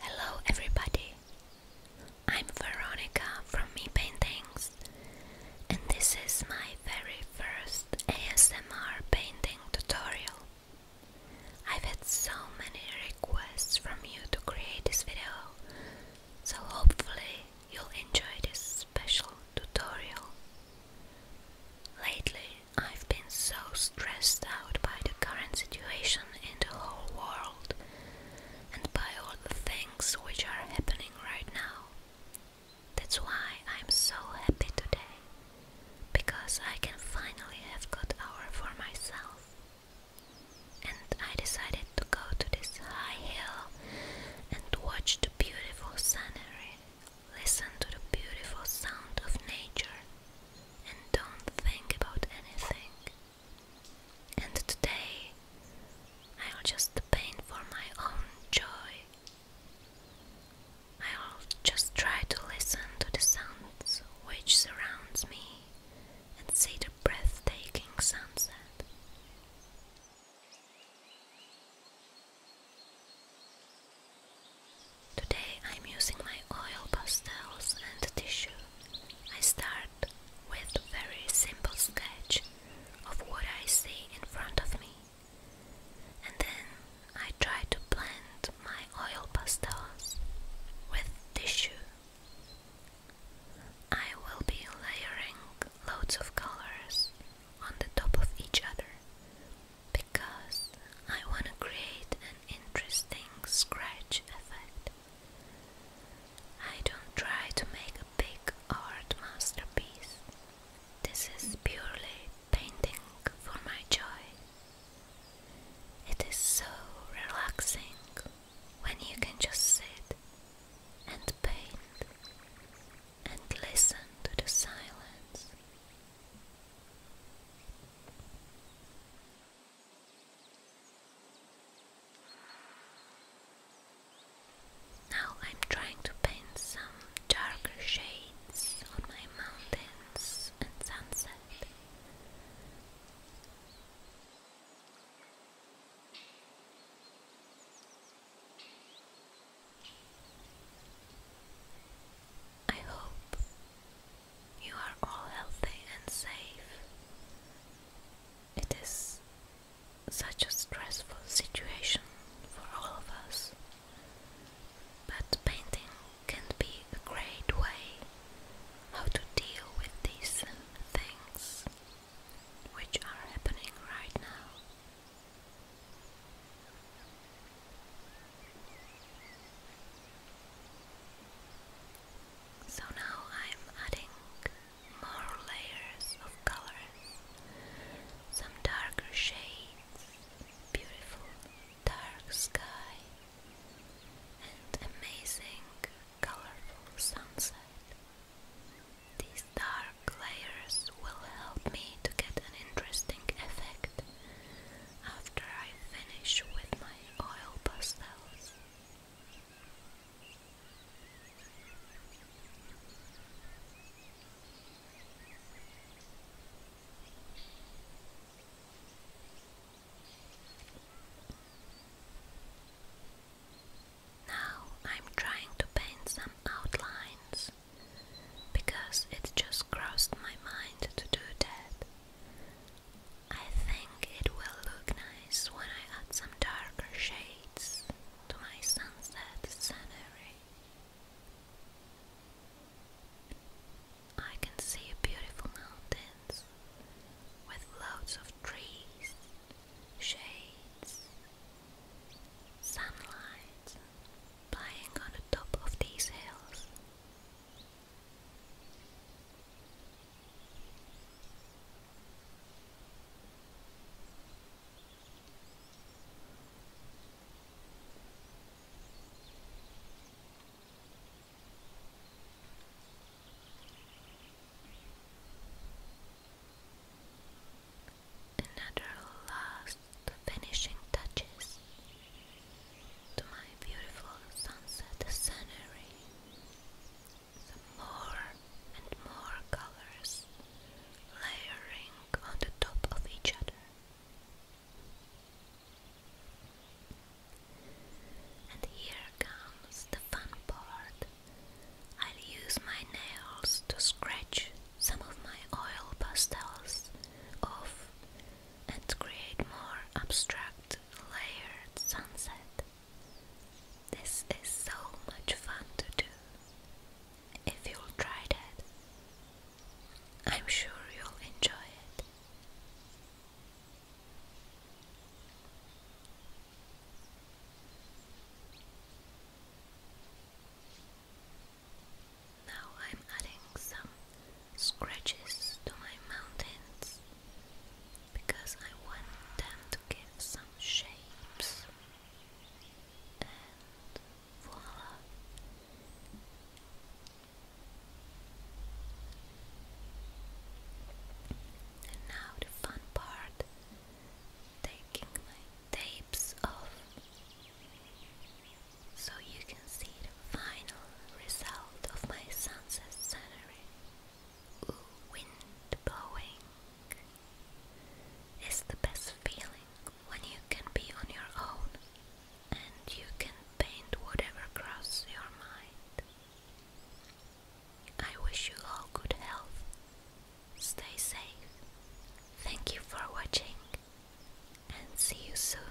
Hello, everybody. I'm Veronica from Me Paintings, and this is my very first ASMR painting tutorial. I've had so many requests from you to create this video, so hopefully you'll enjoy this special tutorial. Lately, I've been so stressed out by the current situation in the whole world and by all the things which are happening right now. That's why I'm so happy today, because I can finally have good hour for myself. And I decided to go to this high hill and watch the beautiful scenery, listen to the beautiful sound of nature, and don't think about anything. And today I'll just paint for my own joy. I'll just try to listen to the sounds which surrounds me and see the breathtaking sunset. Today I'm using my oil pastels and tissue. I start with very simple sketch of what I see in front of me, and then I try to blend my oil pastels with tissue. I will be layering loads of colors on the top of each other because I want to create an interesting scratch effect. I don't try to make a big art masterpiece. This is purely painting for my joy it is so relaxing when you can just sit and paint and listen to the silence. Now I'm trying to paint some darker shades on my mountains and sunsets. I hope you are all healthy and safe. It is such a stressful situation for all of us. But painting can be a great way how to deal with these things which are happening right now. So now I'm adding more layers of colors, some darker shades, beautiful dark sky, and amazing colorful sunset. These dark layers will help me to get an interesting effect after I finish with my oil pastels. Now I'm trying to paint some outlines because it just crossed my mind to do that. I think it will look nice when I add some darker shades to my sunset scenery. I can see beautiful mountains with loads of trees, shades, sunlight playing on the top of these hills. Another last finishing touches to my beautiful sunset scenery. Some more and more colors layering on the top of each other. And here comes the fun part. I'll use my nails to scratch some of my oil pastels off and create more abstract layered sunset. This is so much fun to do if you'll try that. I'm sure you'll enjoy it. Now I'm adding some scratches to my mountains because I want them to give some shapes and now the fun part taking my tapes off so you can see the final result of my sunset scenery. Ooh, wind blowing is the best feeling when you can be on your own and you can paint whatever crosses your mind. I wish you all good health. Stay safe. Thank you for watching and see you soon.